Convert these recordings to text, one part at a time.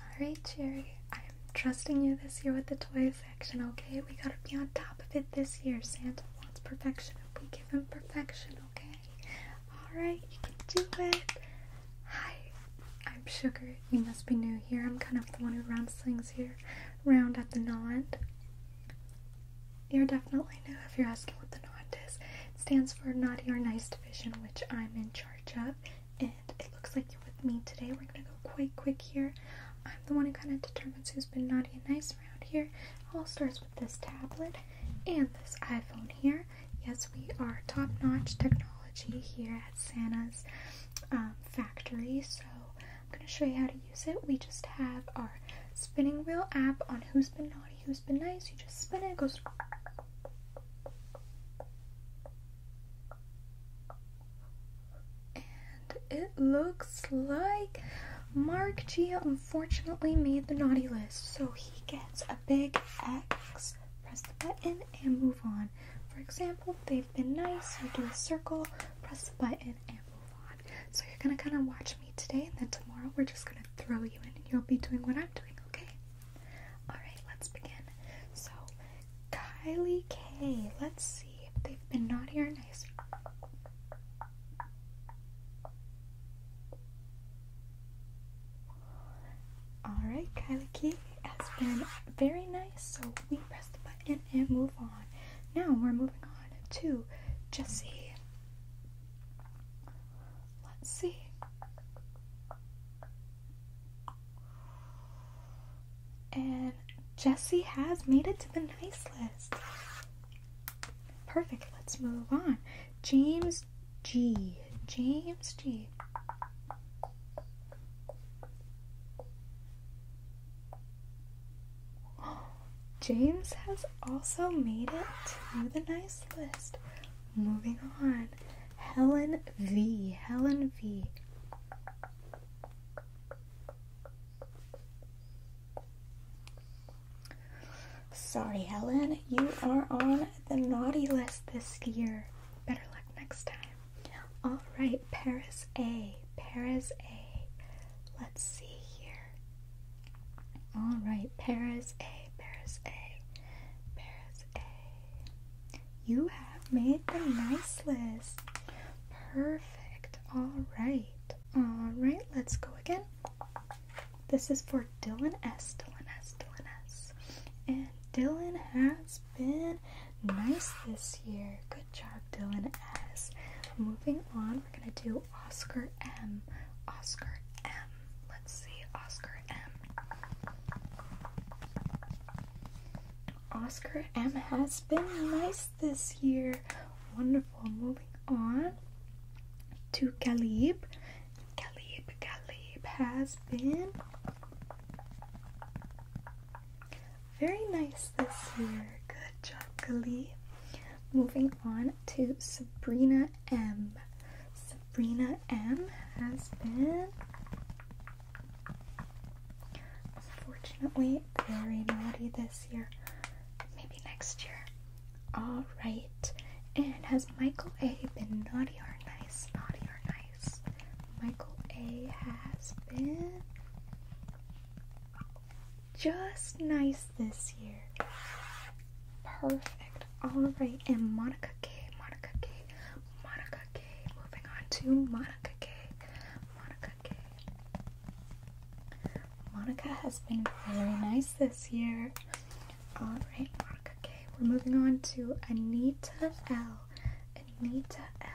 Alright, Cherry, I'm trusting you this year with the toy section, okay? We gotta be on top of it this year. Santa wants perfection, and we give him perfection, okay? Alright, you can do it. Hi, I'm Sugar. You must be new here. I'm kind of the one who rounds things here, round at the gnaw You're definitely new if you're asking what the gnaw is. It stands for Naughty or Nice Division, which I'm in charge of and it looks like you're with me today. We're gonna go quite quick here. I'm the one who kind of determines who's been naughty and nice around here. all starts with this tablet and this iPhone here. Yes, we are top notch technology here at Santa's um, factory, so I'm gonna show you how to use it. We just have our spinning wheel app on who's been naughty, who's been nice. You just spin it goes and it looks like Mark G unfortunately made the naughty list, so he gets a big X. Press the button and move on. For example, they've been nice, you do a circle, press the button, and move on. So you're gonna kind of watch me today, and then tomorrow we're just gonna throw you in, and you'll be doing what I'm doing. Okay. Alright, let's begin. So, Kylie K. Let's see if they've been naughty or nice. Alright, Kylie K has been very nice, so we press the button and move on. Now we're moving on to Jesse. Let's see. And Jesse has made it to the nice list. Perfect, let's move on. James G. James G. James has also made it to the nice list. Moving on. Helen V. Helen V. Sorry, Helen, you are on the naughty list this year. Better luck next time. All right, Paris A. Paris A. Let's see here. All right, Paris A. Paris A. Paris A. You have made the nice list. Perfect. All right. All right, let's go again. This is for Dylan S. Dylan S. Dylan S. And Dylan has been nice this year. Good job, Dylan S. Moving on, we're going to do Oscar M. Oscar M. Let's see, Oscar M. Oscar M has been nice this year. Wonderful. Moving on to Caleb. Caleb, Caleb has been very nice this year. Good job, Caleb. Moving on to Sabrina M. Sabrina M has been Unfortunately, very naughty this year. Maybe next year. Alright. And has Michael A been naughty or nice? Naughty or nice? Michael A has been just nice this year. Perfect. Alright. And Monica K. Monica K. Monica Moving on to Monica K. Monica K. Monica has been very nice this year. Alright, Monica K. We're moving on to Anita L. Anita L.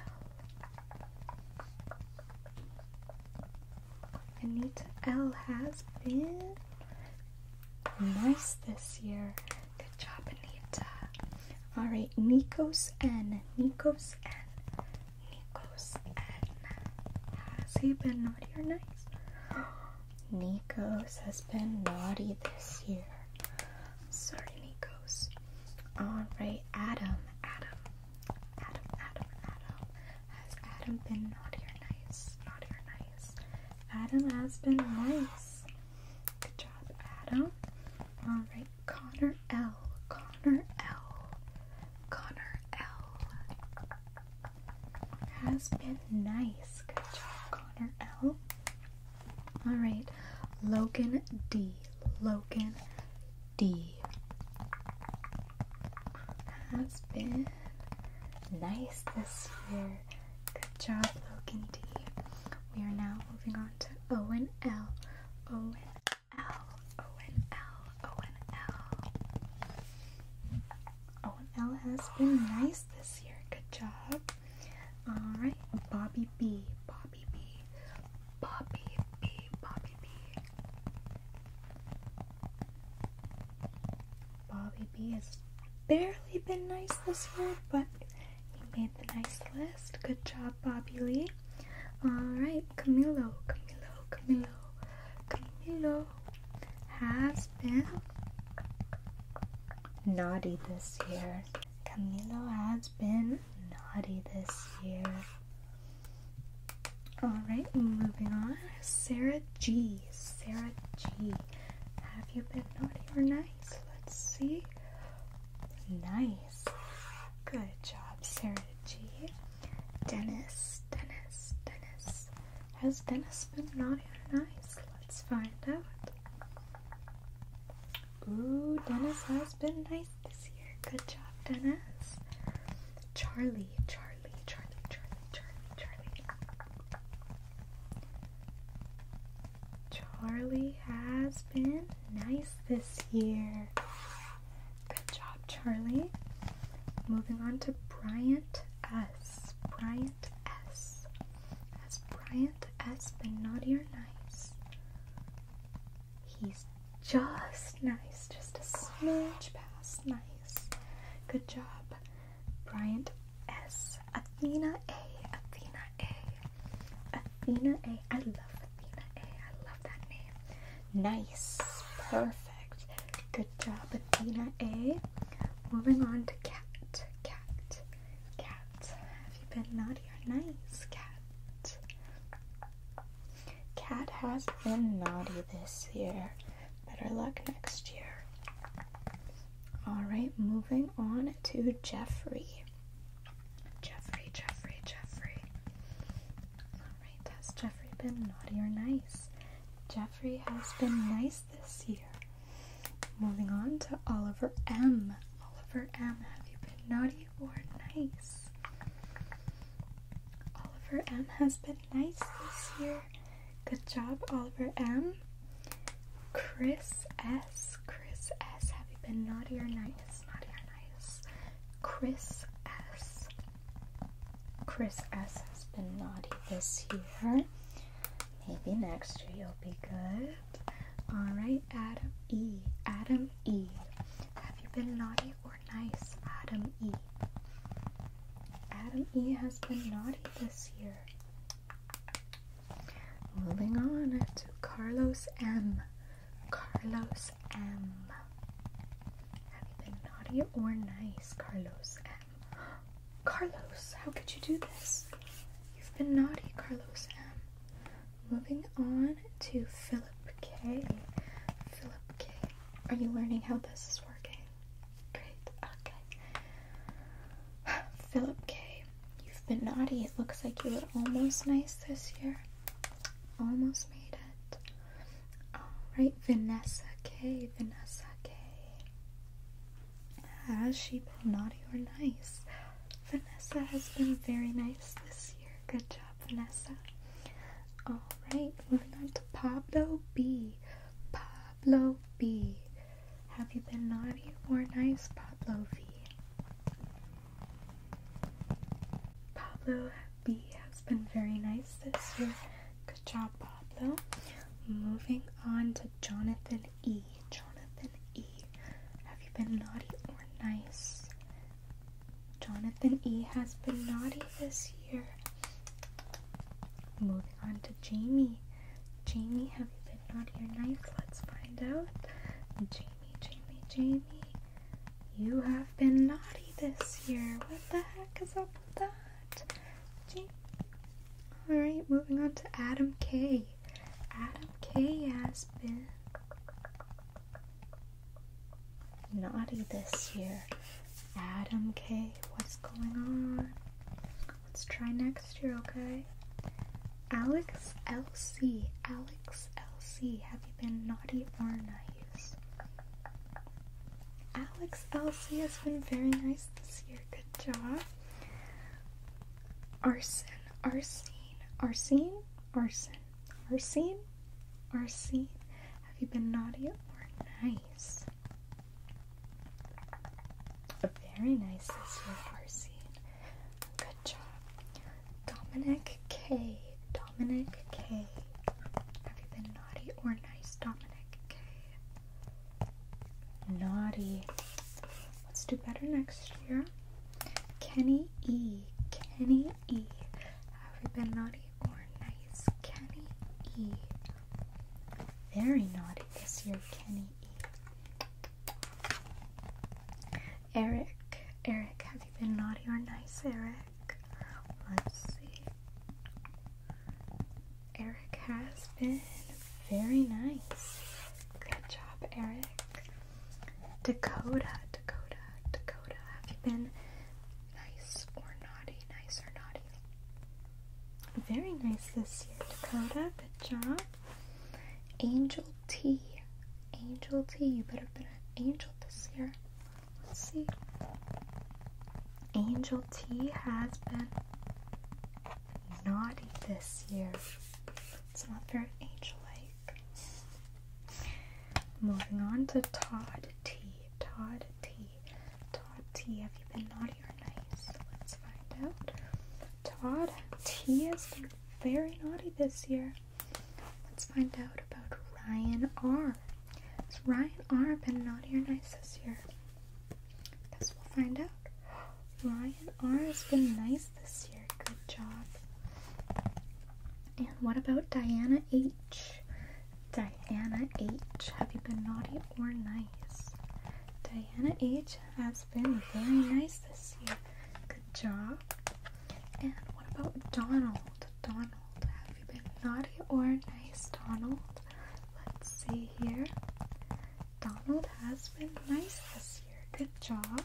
Anita L has been nice this year. Good job, Anita. All right, Nikos and Nikos and Nikos N. Has he been naughty or nice? Nikos has been naughty this year. Sorry, Nikos. All right, Adam. Adam. Adam, Adam, Adam. Has Adam been naughty or nice? Naughty or nice? Adam has been nice. Good job, Adam. All right, Connor L. Connor L. Connor L. Has been nice. Good job, Connor L. All right, Logan D. Logan D. Has been nice this year. Good job, Logan D. We are now moving on to Owen N L O N L O N L O N L. O N L has been nice this year. Good job. All right, Bobby B. Bobby B. Bobby B. Bobby B. Bobby B has barely been nice this year, but you made the nice list. Good job, Bobby Lee. Alright, Camilo, Camilo, Camilo, Camilo has been naughty this year. Camilo has been naughty this year. Alright, moving on. Sarah G. Sarah G. Have you been naughty or nice? Let's see. Nice. Good job, Sarah G. Dennis, Dennis, Dennis. Has Dennis been naughty or nice? Let's find out. Ooh, Dennis has been nice this year. Good job, Dennis. Charlie, Charlie, Charlie, Charlie, Charlie, Charlie. Charlie has been nice this year. Good job, Charlie. Moving on to Bryant S. Bryant S. Has Bryant S been naughty or nice? He's just nice, just a smidge past nice. Good job, Bryant S. Athena A. Athena A. Athena A. I love Athena A. I love that name. Nice. Perfect. Good job, Athena A. Moving on to cat. Cat. Cat. Have you been naughty or nice, cat? Cat has been naughty this year. Better luck next year. Alright, moving on to Jeffrey. Jeffrey, Jeffrey, Jeffrey. Alright, has Jeffrey been naughty or nice? Jeffrey has been nice this year. Moving on to Oliver M. Oliver M, have you been naughty or nice? Oliver M has been nice this year. Good job, Oliver M. Chris S. Chris S, have you been naughty or nice? Chris S. Chris S has been naughty this year. Maybe next year you'll be good. Alright, Adam E. Adam E. Have you been naughty or nice, Adam E? Adam E has been naughty this year. Moving on to Carlos M. Carlos M. Have you been naughty or nice, Carlos M? Carlos, how could you do this? You've been naughty, Carlos M. Moving on to Philip K. Philip K. Are you learning how this is working? Great, okay. Philip K. You've been naughty. It looks like you were almost nice this year. Almost made it. Alright, Vanessa K. Vanessa K. Has she been naughty or nice? Vanessa has been very nice this year. Good job, Vanessa. Alright, moving on to Pablo B. Pablo B. Have you been naughty or nice, Pablo B. Pablo B has been very nice this year. Good job, Pablo. Moving on to Jonathan E. Jonathan E. Have you been naughty or nice? Jonathan E has been naughty this year. Moving on to Jamie. Jamie, have you been naughty or nice? Let's find out. Jamie, Jamie, Jamie. You have been naughty this year. What the heck is up with that? Jamie. Alright, moving on to Adam K. Adam K has been naughty this year. Adam K, what's going on? Let's try next year, okay? Alex LC. Alex Alex LC, have you been naughty or nice? Alex Elsie has been very nice this year. Good job. Arson, Arsene, Arsene, Arson, Arsene, Arsene. Have you been naughty or nice? Very nice this year, Arsene. Good job. Dominic K. Dominic K. Have you been naughty or nice, Dominic K? Naughty. Let's do better next year. Kenny E. Kenny E. Have you been naughty or nice, Kenny E? Very naughty this year, Kenny E. Eric, Eric, have you been naughty or nice, Eric? Let's see. Eric has been very nice. Good job, Eric. Dakota, Dakota, Dakota, have you been nice or naughty? Nice or naughty? Very nice this year, Dakota. Good job. Angel T, Angel T, You better be an angel this year. Let's see. Angel T has been naughty this year. It's not very angel like. Moving on to Todd T. Todd T. Todd T. Have you been naughty or nice? Let's find out. Todd T is very naughty this year. Let's find out about Ryan R. Has Ryan R been naughty or nice this year? Guess we find out. Ryan R has been nice this year. Good job. And what about Diana H? Diana H, have you been naughty or nice? Diana H has been very nice this year. Good job. And what about Donald? Donald, have you been naughty or nice, Donald? Let's see here. Donald has been nice this year. Good job.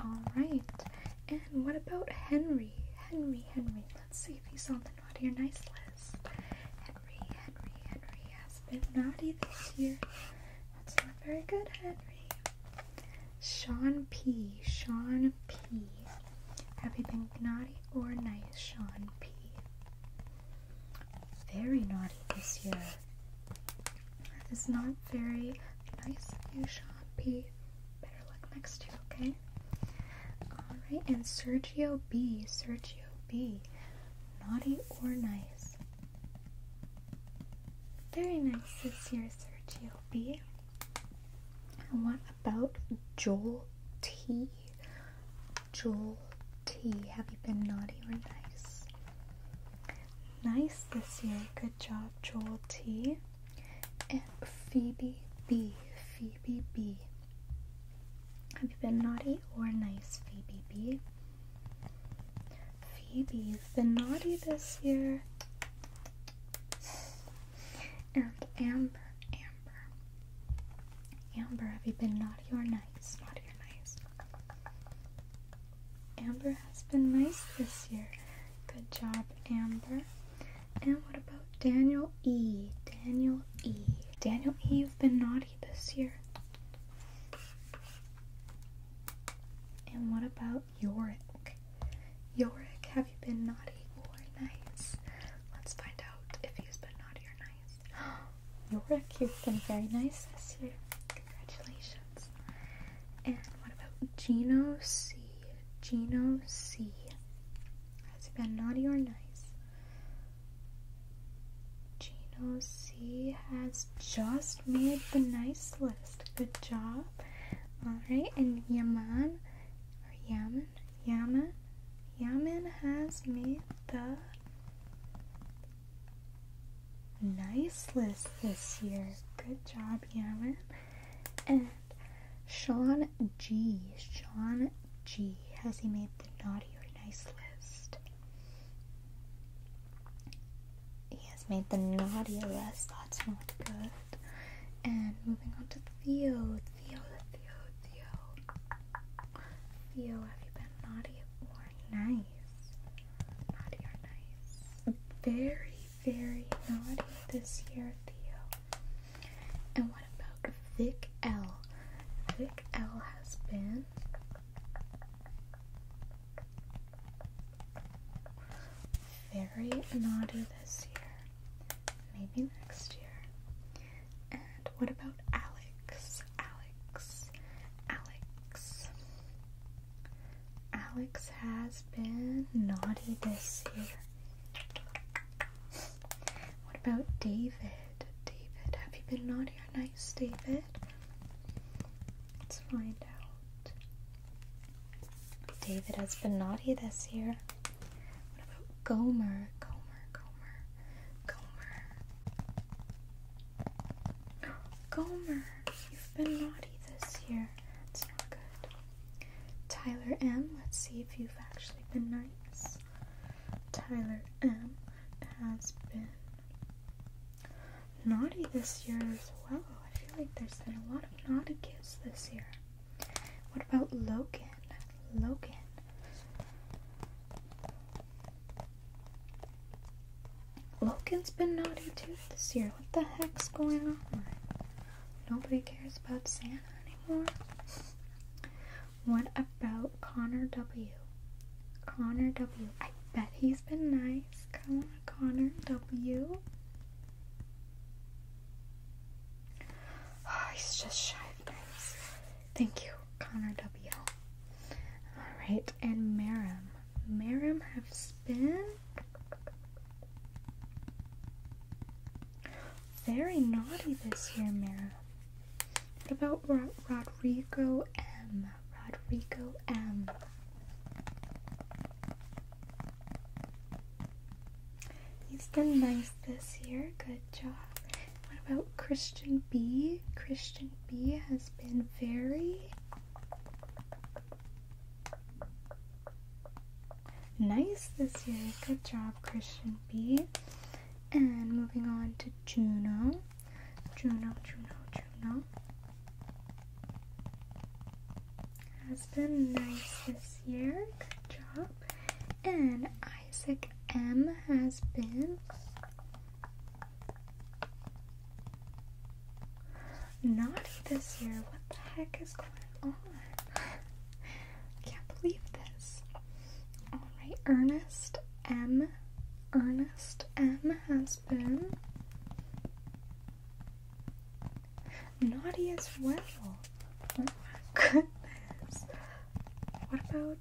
Alright. And what about Henry? Henry, Henry. Let's see if he's on the naughty or nice list. Henry, Henry, Henry has been naughty this year. That's not very good, Henry. Sean P. Sean P. Have you been naughty or nice, Sean P? Very naughty this year. That is not very nice of you, Sean P. Better look next year, okay? Alright, and Sergio B. Sergio B. Naughty or nice? Very nice this year, Sergio Shelby. what about Joel T? Joel T. Have you been naughty or nice? Nice this year. Good job, Joel T. And Phoebe B. Phoebe B. Have you been naughty or nice, Phoebe B? Phoebe's been naughty this year. And Amber, Amber. Amber, have you been naughty or nice? Naughty or nice? Amber has been nice this year. Good job, Amber. And what about Daniel E? Daniel E. Daniel E, you've been naughty this year. And what about about Yorick. Yorick, have you been naughty or nice? Let's find out if he's been naughty or nice. Yorick, you've been very nice this year. Congratulations. And what about Gino C? Gino C. Has he been naughty or nice? Gino C has just made the nice list. Good job. Alright, and Yaman or Yaman? Yaman? Yaman has made the nice list this year. Good job, Yaman. And Sean G. Sean G. Has he made the naughty or nice list? he has made the naughty list. That's not good. And moving on to Theo. Theo, Theo, Theo. Theo, have you been naughty or nice? Naughty or nice? Very, very naughty this year, Theo. And what about Vic L? Vic L has been very naughty this year. Maybe next year. And what about Alex? Alex. Alex. Alex has been naughty this year. What about David? David, have you been naughty or nice, David? Let's find out. David has been naughty this year. What about Gomer? Gomer, Gomer, Gomer. Gomer, you've been naughty this year. It's not good. Tyler M, let's see if you've actually been nice. Tyler M has been naughty this year as well. I feel like there's been a lot of naughty kids this year. What about Logan? Logan. Logan's been naughty too this year. What the heck's going on? Nobody cares about Santa anymore. What about Connor W? Connor W. I bet he's been nice. Come Connor W. Oh, he's just shy Thank you, Connor W. Alright, and Marim. Marim has been very naughty this year, Marim. What about Rodrigo M? Rodrigo M. He's been nice this year. Good job. What about Christian B? Christian B has been very nice this year. Good job, Christian B. And moving on to Juno. Juno, Juno, Juno has been nice this year. Good job. And Isaac M has been naughty this year. What the heck is going on? I can't believe this. Alright, Ernest M. Ernest M has been Naughty as well. Oh my goodness. What about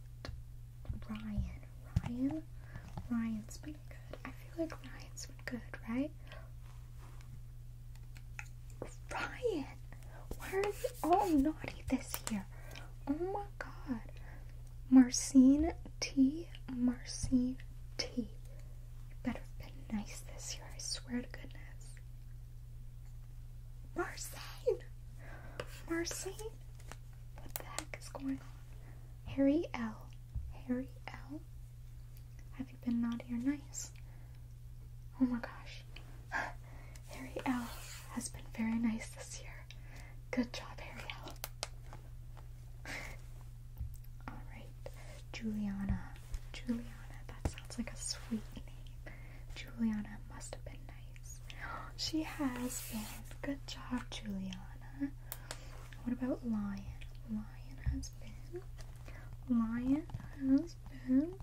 Ryan? Ryan? Ryan's been good. I feel like Ryan's been good, right? Ryan! Why are they oh, all naughty this year? Oh my god. Marcine T. Marcine T. You better have been nice this year, I swear to goodness. Marcine! Marcine? What the heck is going on? Harry L. Harry L? Have you been naughty or nice? Oh my gosh. Harry L has been very nice this year. Good job, Harry L. Alright, Juliana. Juliana. That sounds like a sweet name. Juliana must have been nice. She has been. Good job, Juliana. What about Lion? Lion has been. Lion has been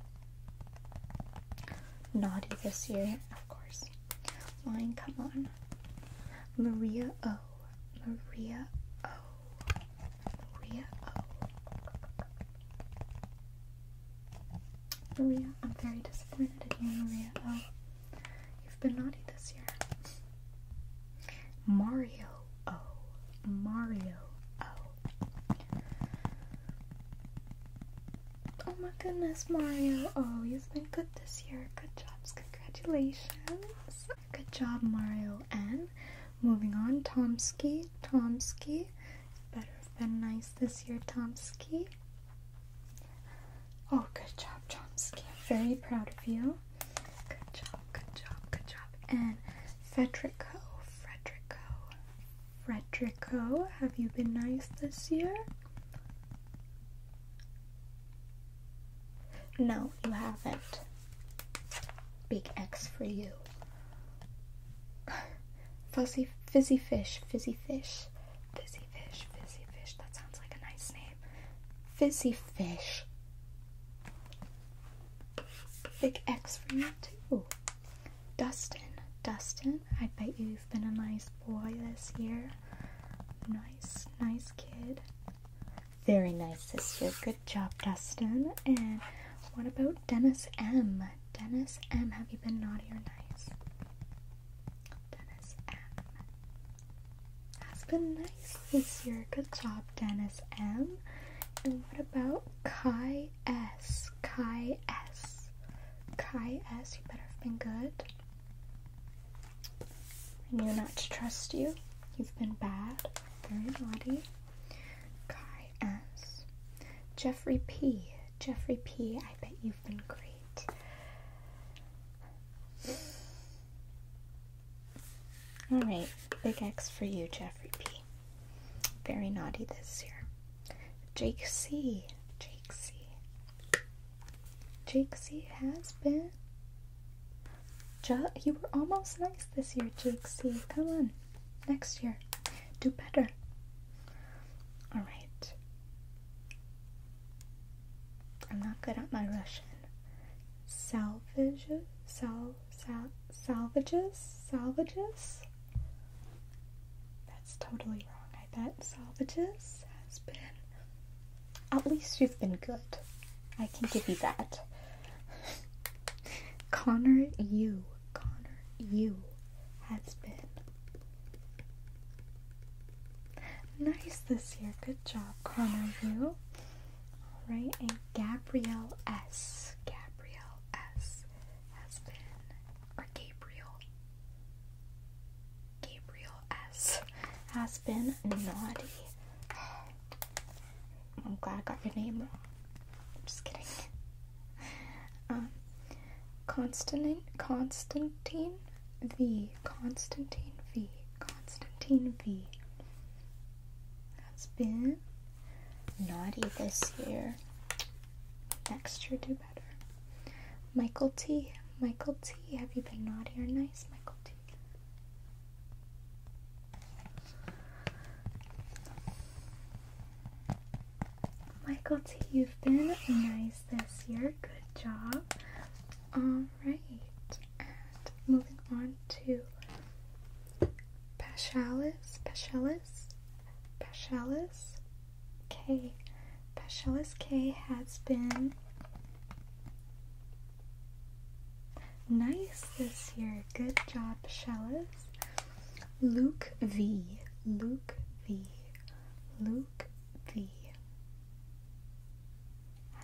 naughty this year, of course. Lion, come on. Maria O. Maria O. Maria oh, Maria, I'm very disappointed in you, Maria Oh, You've been naughty this year. Mario oh, Mario O. Oh. oh my goodness, Mario oh, You've been good this year. Good jobs. Congratulations. Good job, Mario And Moving on, Tomsky. Tomsky. Better have been nice this year, Tomsky. Oh, good job, Chomsky. I'm very proud of you. Good job, good job, good job. And Federico, Frederico. Frederico, have you been nice this year? No, you haven't. Big X for you. Fuzzy, fizzy fish, fizzy fish, fizzy fish, fizzy fish. That sounds like a nice name. Fizzy fish. Big X for you too. Dustin, Dustin, I bet you you've been a nice boy this year. Nice, nice kid. Very nice, sister. Good job, Dustin. And what about Dennis M? Dennis M, have you been naughty or nice? Dennis M has been nice this year. Good job, Dennis M. And what about Kai S? Kai S. Kai S, you better have been good. I knew not to trust you. You've been bad, very naughty. Guy Jeffrey P. Jeffrey P. I bet you've been great. Alright, big X for you, Jeffrey P. Very naughty this year. Jake C. Jake C. Jake C has been Ju you were almost nice this year, GXC. Come on, next year, do better. All right. I'm not good at my Russian. Salvages, sal, sal, salvages, salvages. That's totally wrong. I bet salvages has been. At least you've been good. I can give you that. Connor U, Connor U, has been nice this year. Good job, Connor U. Alright, and Gabrielle S. Gabrielle S has been or Gabriel. Gabriel S has been naughty. I'm glad I got your name wrong. I'm just kidding. um, Constantin, Constantine V. Constantine V. Constantine V. that Has been naughty this year. Next year, do better. Michael T. Michael T. Have you been naughty or nice, Michael T? Michael T, you've been nice this year. Good job. Alright. And moving on to Paschalis. Paschalis. Paschalis K. Paschalis K has been nice this year. Good job, Shellis. Luke V. Luke V. Luke V.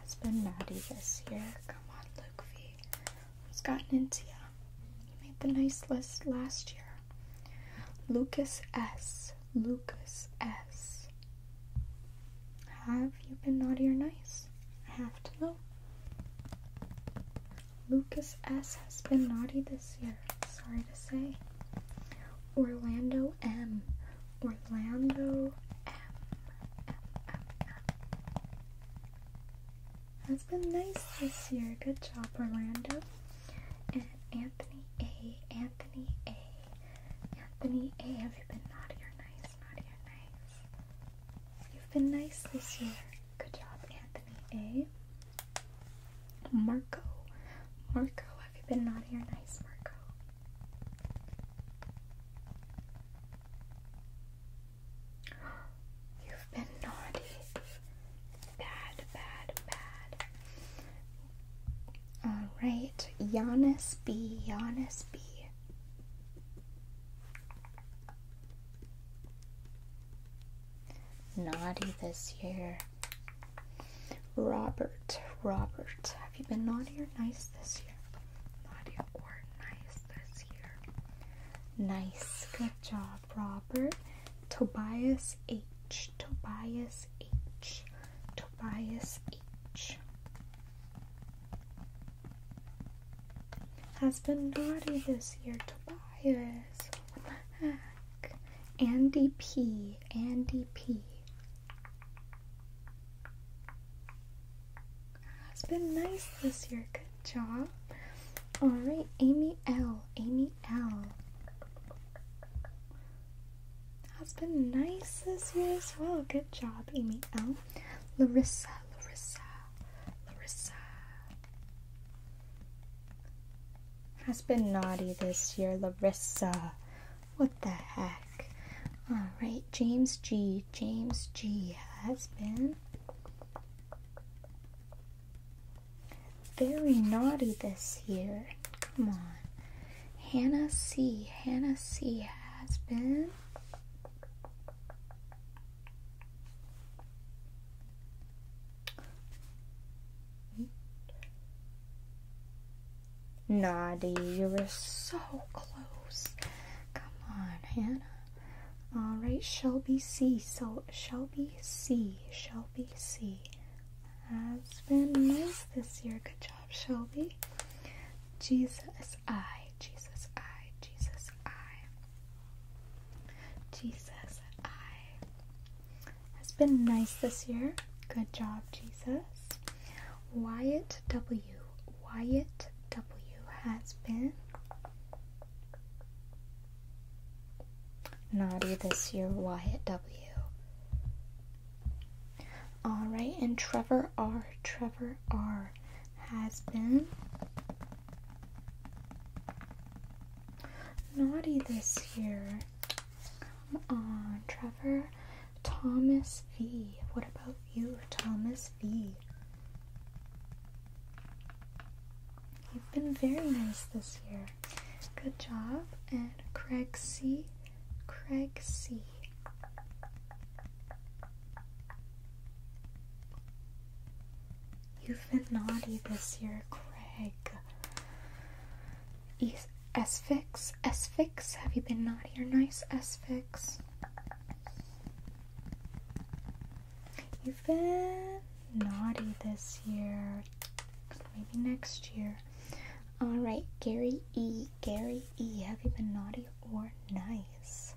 Has been naughty this year. Come on, Luke V. Who's gotten into you? You made the nice list last year. Lucas S. Lucas S. Have you been naughty or nice? I have to know. Lucas S. has been naughty this year, sorry to say. Orlando M. Orlando M. That's been nice this year. Good job, Orlando. And Anthony A. Anthony A. Anthony A. Have you been naughty or nice? Naughty or nice? You've been nice this year. Good job, Anthony A. Marco. Marco, have you been naughty or nice, Marco? You've been naughty. Bad, bad, bad. Alright, Giannis B. Giannis B. Naughty this year. Robert, Robert, have you been naughty or nice this year? Naughty or nice this year? Nice. Good job, Robert. Tobias H. Tobias H. Tobias H has been naughty this year. Tobias, Andy P. Andy P. Has been nice this year. Good job. All right, Amy L. Amy L. Has been nice this year as well. Good job, Amy L. Larissa, Larissa, Larissa, has been naughty this year, Larissa. What the heck? Alright, James G. James G has been very naughty this year. Come on. Hannah C. Hannah C has been Naughty, you were so close. Come on, Hannah. Alright, Shelby C. So, Shelby C. Shelby C. Has been nice this year. Good job, Shelby. Jesus I. Jesus I. Jesus I. Jesus, I has been nice this year. Good job, Jesus. Wyatt W. Wyatt W has been naughty this year, Wyatt W. Alright, and Trevor R. Trevor R. has been Naughty this year. Come on, Trevor. Thomas V. What about you, Thomas V? You've been very nice this year. Good job. And Craig C. Craig C. You've been naughty this year, Craig. Is S-Fix? S-Fix? Have you been naughty or nice, S-Fix? You've been naughty this year. Maybe next year. Alright, Gary E. Gary E. Have you been naughty or nice?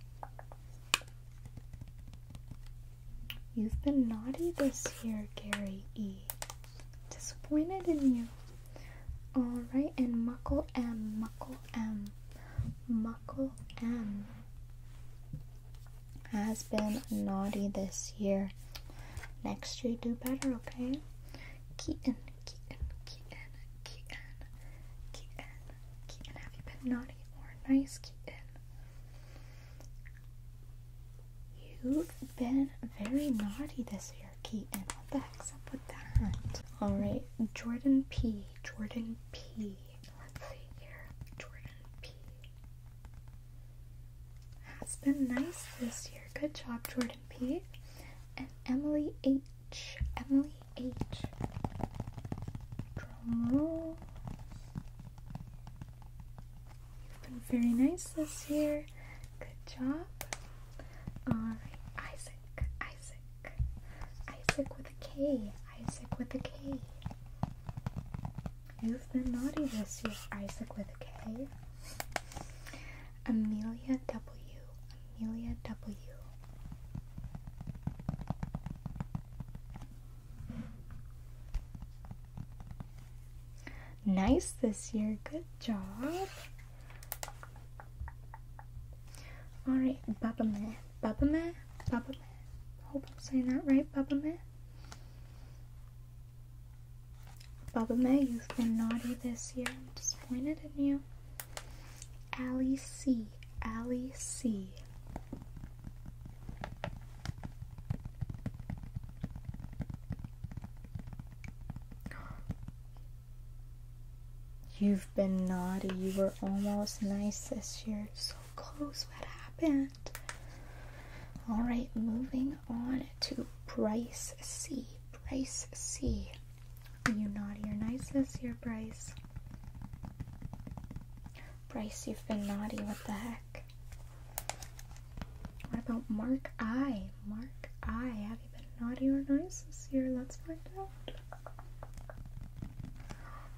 You've been naughty this year, Gary E. Disappointed in you. Alright, and Muckle M, Muckle M, Muckle M has been naughty this year. Next year, do better, okay? Keaton, Keaton, Keaton, Keaton, Keaton, Keaton, have you been naughty or nice, Keaton? You've been very naughty this year, Keaton. What the heck's up with that? Alright, Jordan P. Jordan P. Let's see here. Jordan P. Has been nice this year. Good job, Jordan P. And Emily H. Emily H. You've been very nice this year. Good job. Isaac, Isaac, Isaac with a K, Isaac with a K. You've been naughty this year, Isaac with a K. Amelia W, Amelia W. Nice this year. Good job. Alright, Baba Meh. Baba Meh? Baba Meh. Hope I'm saying that right, Baba Meh. Baba Meh, you've been naughty this year. I'm disappointed in you. Allie C. Allie C. You've been naughty. You were almost nice this year. So close. What happened? All right, moving on to Bryce C. Bryce C. Are you naughty or nice this year, Bryce? Bryce, you've been naughty. What the heck? What about Mark I? Mark I, have you been naughty or nice this year? Let's find out.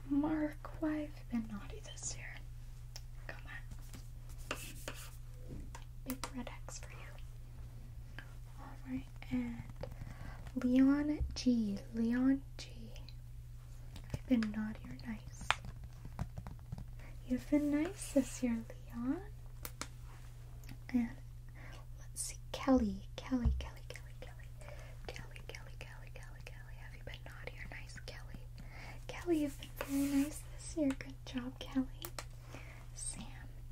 Mark, why have you been naughty this year? Come on. Big red X for you. Alright, and Leon G. Leon G. I've been naughty or nice. You've been nice this year, Leon. And let's see, Kelly, Kelly, Kelly, Kelly, Kelly, Kelly, Kelly, Kelly, Kelly, Kelly. Have you been naughty or nice, Kelly? Kelly, you've been very nice this year. Good job, Kelly. Sam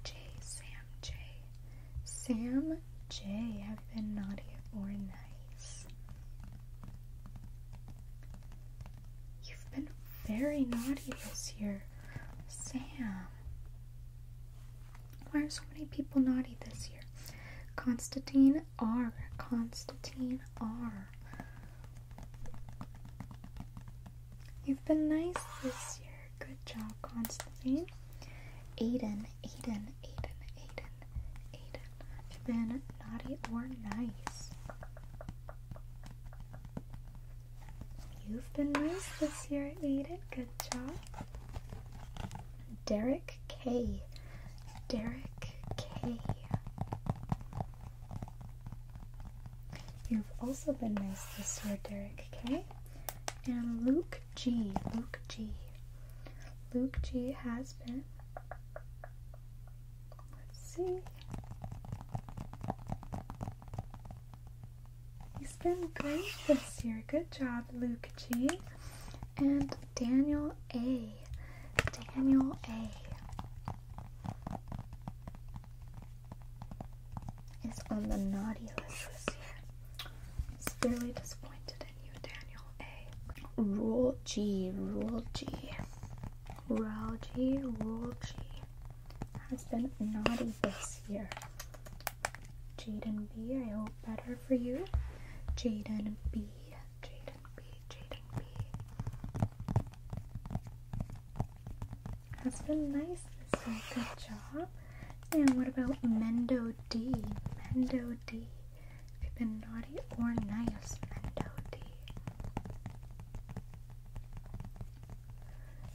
J, Sam J, Sam J. Have been naughty or nice? You've been very naughty this year, Sam. Why are so many people naughty this year? Constantine R. Constantine R. You've been nice this year. Good job, Constantine. Aiden, Aiden, Aiden, Aiden, Aiden. Have been naughty or nice? You've been nice this year, Aiden. Good job. Derek K. Derek K. You've also been nice this year, Derek K. And Luke G. Luke G. Luke G has been Let's see. He's been great this year. Good job, Luke G. And Daniel A. Daniel A. Is on the naughty list this year. It's really disappointed Daniel A. Rule G, Rule G, Rule G, Rule G has been naughty this year. Jaden B, I hope better for you. Jaden B, Jaden B, Jaden B. That's been nice this year. Good job. And what about Mendo D? Mendo D. Have you been naughty or nice, Mendoti?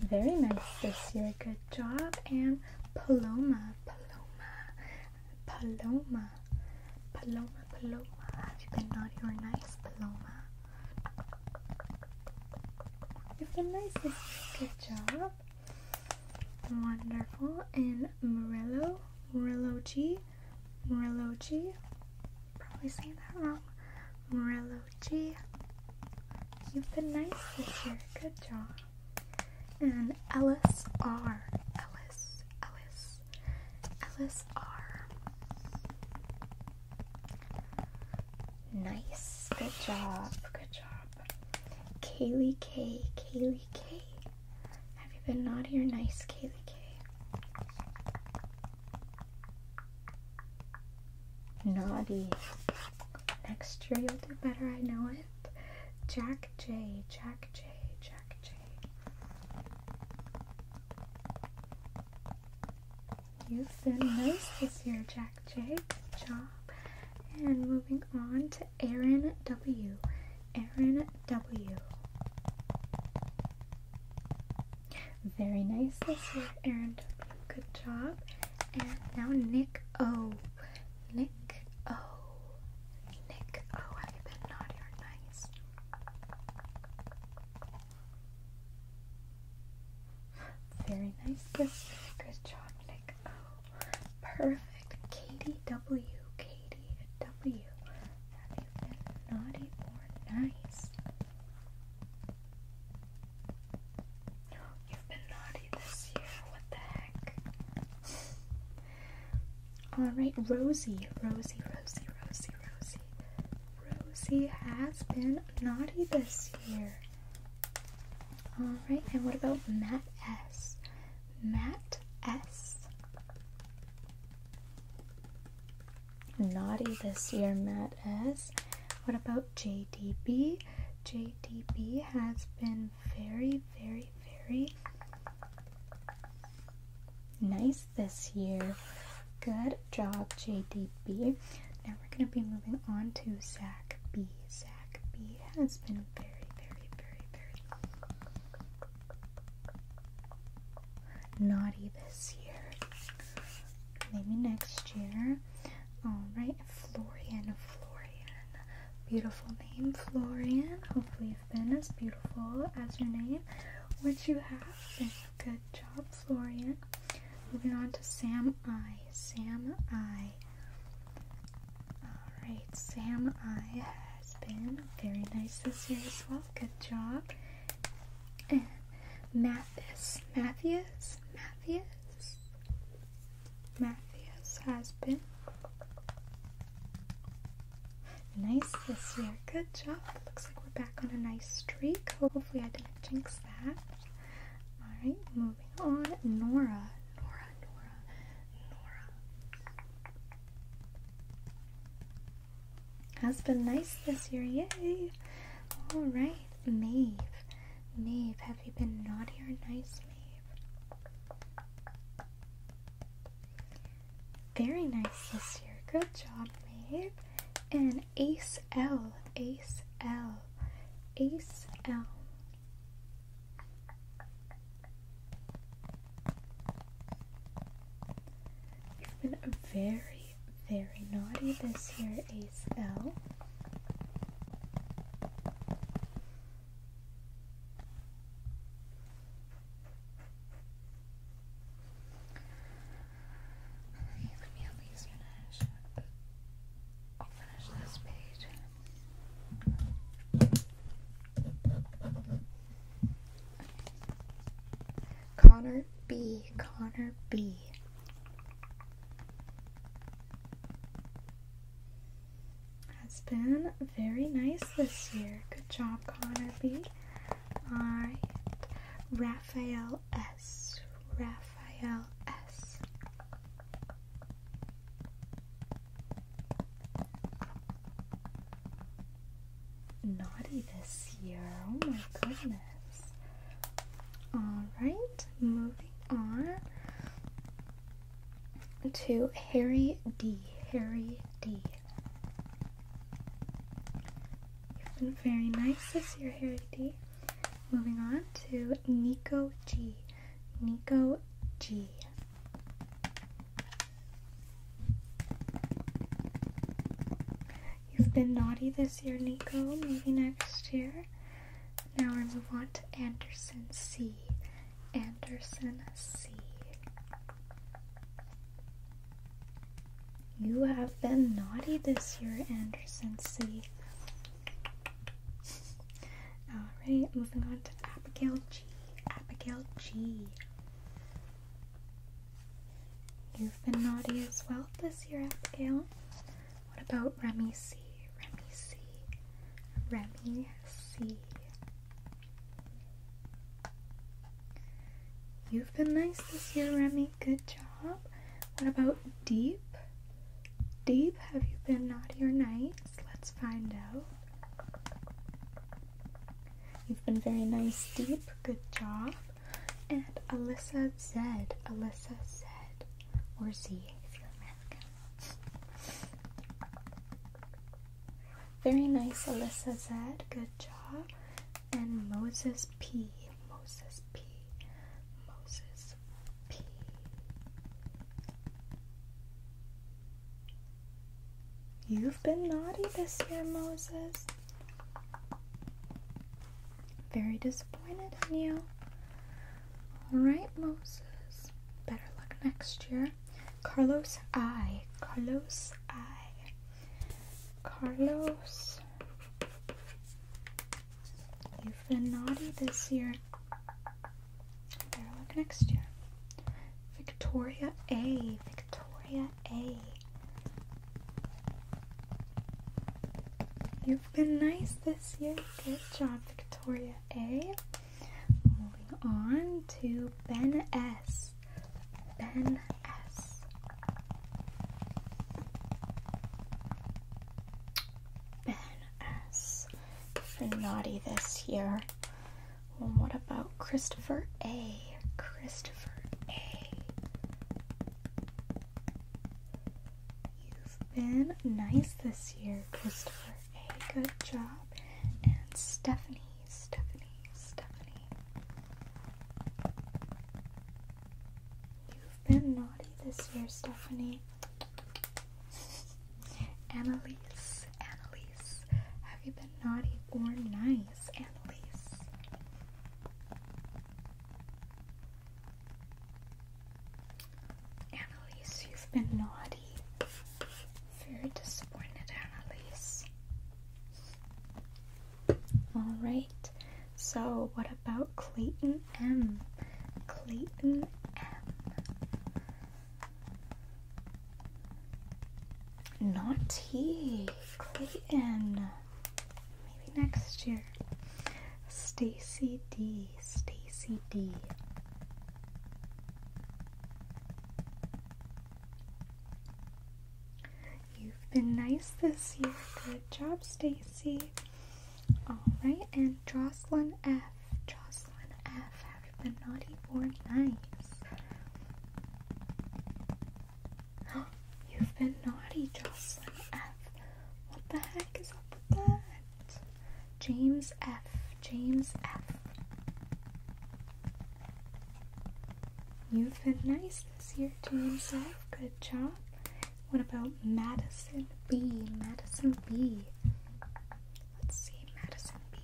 Very nice this year. Good job. And Paloma, Paloma, Paloma, Paloma, Paloma. Have you been naughty or nice, Paloma? You've been nice this year. Good job. Wonderful. And Murillo, Murillo G. Murilloji. Probably saying that wrong. Murilloji. You've been nice this year. Good job. And Ellis R. Ellis. Ellis. Ellis R. Nice. Good job. Good job. Kaylee K. Kaylee K. Have you been naughty or nice, Kaylee K? Naughty. Next year you'll do better, I know it. Jack J, Jack J, Jack J. You've been nice this year, Jack J. Good job. And moving on to Aaron W. Aaron W. Very nice this year, Aaron. Good job. And now Nick O. Nick O. Nick O. Have you been naughty or nice? Very nice this year. Good job, Nick O. Perfect. Katie W. Katie W. Have you been naughty or nice? You've been naughty this year. What the heck? Alright, Rosie. Rosie, Rosie, Rosie, Rosie. Rosie has been naughty this year. Alright, and what about Matt S? Matt S. Naughty this year, Matt S. What about JDB? JDB has been very, very, very nice this year. Good job, JDB. Now we're going to be moving on to Zach B. Zach B has been very, very, very, very Naughty this year. Maybe next year. Alright, Florian, Florian. Beautiful name, Florian. Hopefully you've been as beautiful as your name, which you have Good job, Florian. Moving on to Sam I. Sam I. Alright, Sam I has been. Very nice this year as well. Good job. And Mathis. Matthias. Matthias. Matthias has been. Nice this year. Good job. Looks like we're back on a nice streak. Hopefully I didn't jinx that. Alright, moving on. Nora. Nora, Nora, Nora. Has been nice this year, yay! All right, Maeve. Maeve, have you been naughty or nice, Maeve? Very nice this year. Good job, Maeve. And Ace L. Ace L. Ace L. You've been very, very naughty this year, ASL. Okay, let me at least finish. I'll finish this page. Connor B. Connor B. Has been very nice this year. Good job, Connor B. Raphael S. Raphael S naughty this year. Oh my goodness. Alright, moving on to Harry D. Harry D. You've been very nice this year, Harry D. Moving on to Nico G. Nico G. You've been naughty this year, Nico. Maybe next year. Now we are moving on to Anderson C. Anderson C. You have been naughty this year, Anderson C. Alright, moving on to Abigail G. Abigail G. You've been naughty as well this year, Abigail. What about Remy C? Remy C. Remy C. You've been nice this year, Remy. Good job. What about Deep? Deep, have you been naughty or nice? Let's find out. You've been very nice, Deep. Good job. And Alyssa Z. Alyssa Z. Or Z if you're American. Very nice, Alyssa Z. Good job. And Moses P. Moses P. Moses P. You've been naughty this year, Moses. Very disappointed in you. Alright, Moses. Better luck next year. Carlos I. Carlos I. Carlos. You've been naughty this year. Better luck next year. Victoria A. Victoria A. You've been nice this year. Good job, Victoria A. Moving on to Ben S. Ben S. Ben S. For naughty this year. Well, what about? Christopher A. Christopher A. You've been nice this year, Christopher A. Good job. And Stephanie, Stephanie, Stephanie. You've been naughty this year, Stephanie. Annalise, Annalise, have you been naughty or nice? Annalise. Annalise, you've been naughty. Very disappointed, Annalise. Alright, so what about Clayton M? Clayton M. Naughty. Clayton. Uh, maybe next year. Stacy D. Stacy D. You've been nice this year. Good job, Stacy. Alright, and Jocelyn F. Jocelyn F. Have you been naughty or nice? You've been naughty, Jocelyn F. What the heck is up with that? James F. James F. You've been nice this year, James F. Good job. What about Madison B? Madison B. Let's see, Madison B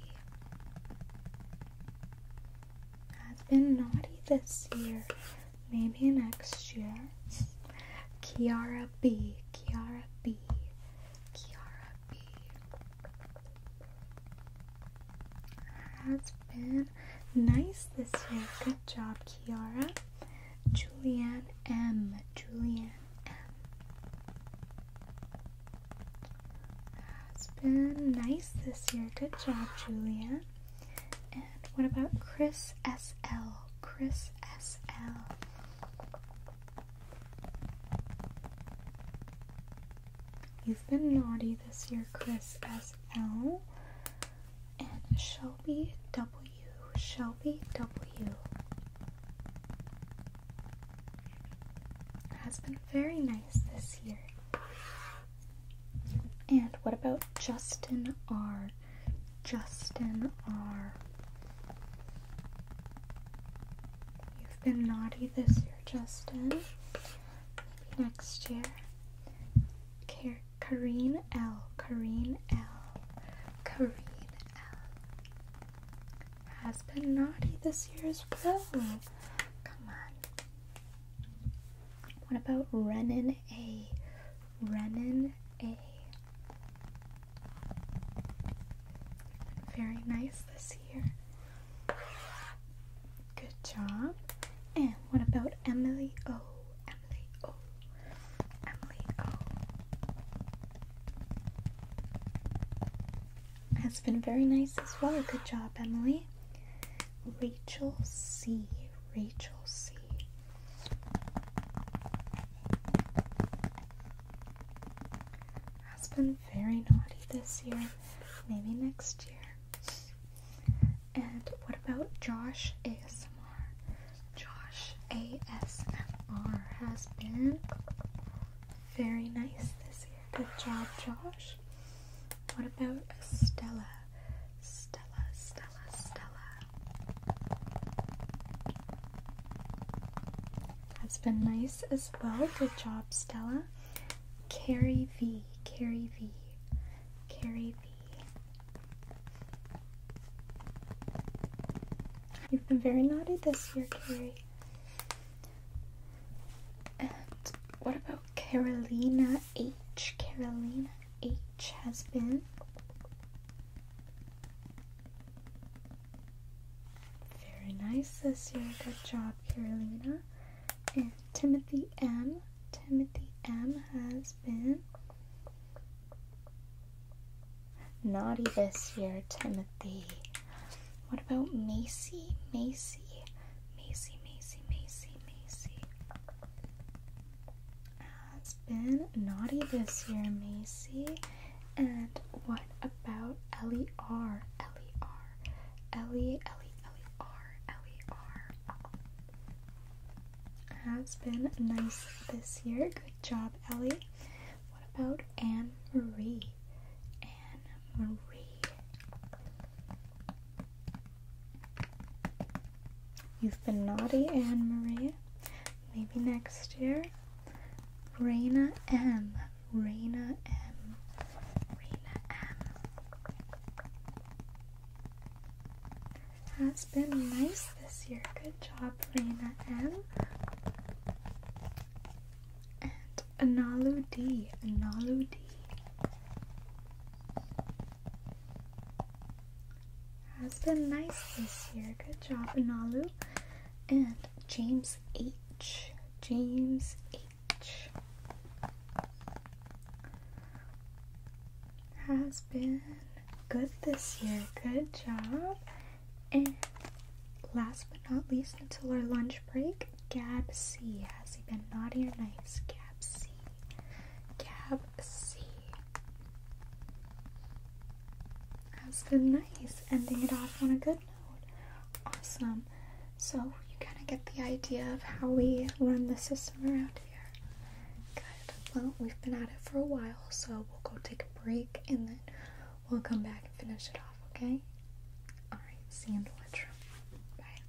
has been naughty this year. Maybe next year. Kiara B. Kiara B. Kiara B. Has been nice this year. Good job, Kiara. Julianne M. Julianne Has been nice this year. Good job, Julianne. And what about Chris SL? Chris SL. You've been naughty this year, Chris SL. And Shelby W. Shelby W. Has been very nice this year. And what about Justin R? Justin R. You've been naughty this year, Justin. Maybe next year. Car- Kareen L. Kareen L. Kareen L. Has been naughty this year as well. Come on. What about Renan A? Renan A. Very nice this year. Good job. And what about Emily O? Emily O. Emily O. Has been very nice as well. Good job, Emily. Rachel C. Rachel C. Has been very naughty this year, maybe next year. And what about Josh ASMR? Josh ASMR has been very nice this year. Good job, Josh. What about Stella? Stella, Stella, Stella. That's been nice as well. Good job, Stella. Carrie V, Carrie V, Carrie V. You've been very naughty this year, Carrie. And what about Carolina H. Carolina H has been very nice this year. Good job, Carolina. And Timothy M. Timothy M has been naughty this year, Timothy. What about Macy? Macy, Macy, Macy, Macy, Macy has been naughty this year, Macy. And what about Ellie R? Ellie R. Ellie, Ellie, Ellie R. Ellie R. Has been nice this year. Good job, Ellie. What about Anne Marie? Anne Marie You've been naughty, Anne Marie. Maybe next year. Raina M. Raina M. Raina M. That's been nice this year. Good job, Raina M. And Analu D. Analu D. Has been nice this year. Good job, Nalu. And James H. James H. Has been good this year. Good job. And last but not least, until our lunch break, Gab C. Has he been naughty or nice? Gab C. Cab C. That's been nice, ending it off on a good note. Awesome. So you kind of get the idea of how we run the system around here. Good. Well, we've been at it for a while, so we'll go take a break and then we'll come back and finish it off, okay? Alright, Sandwich. Bye.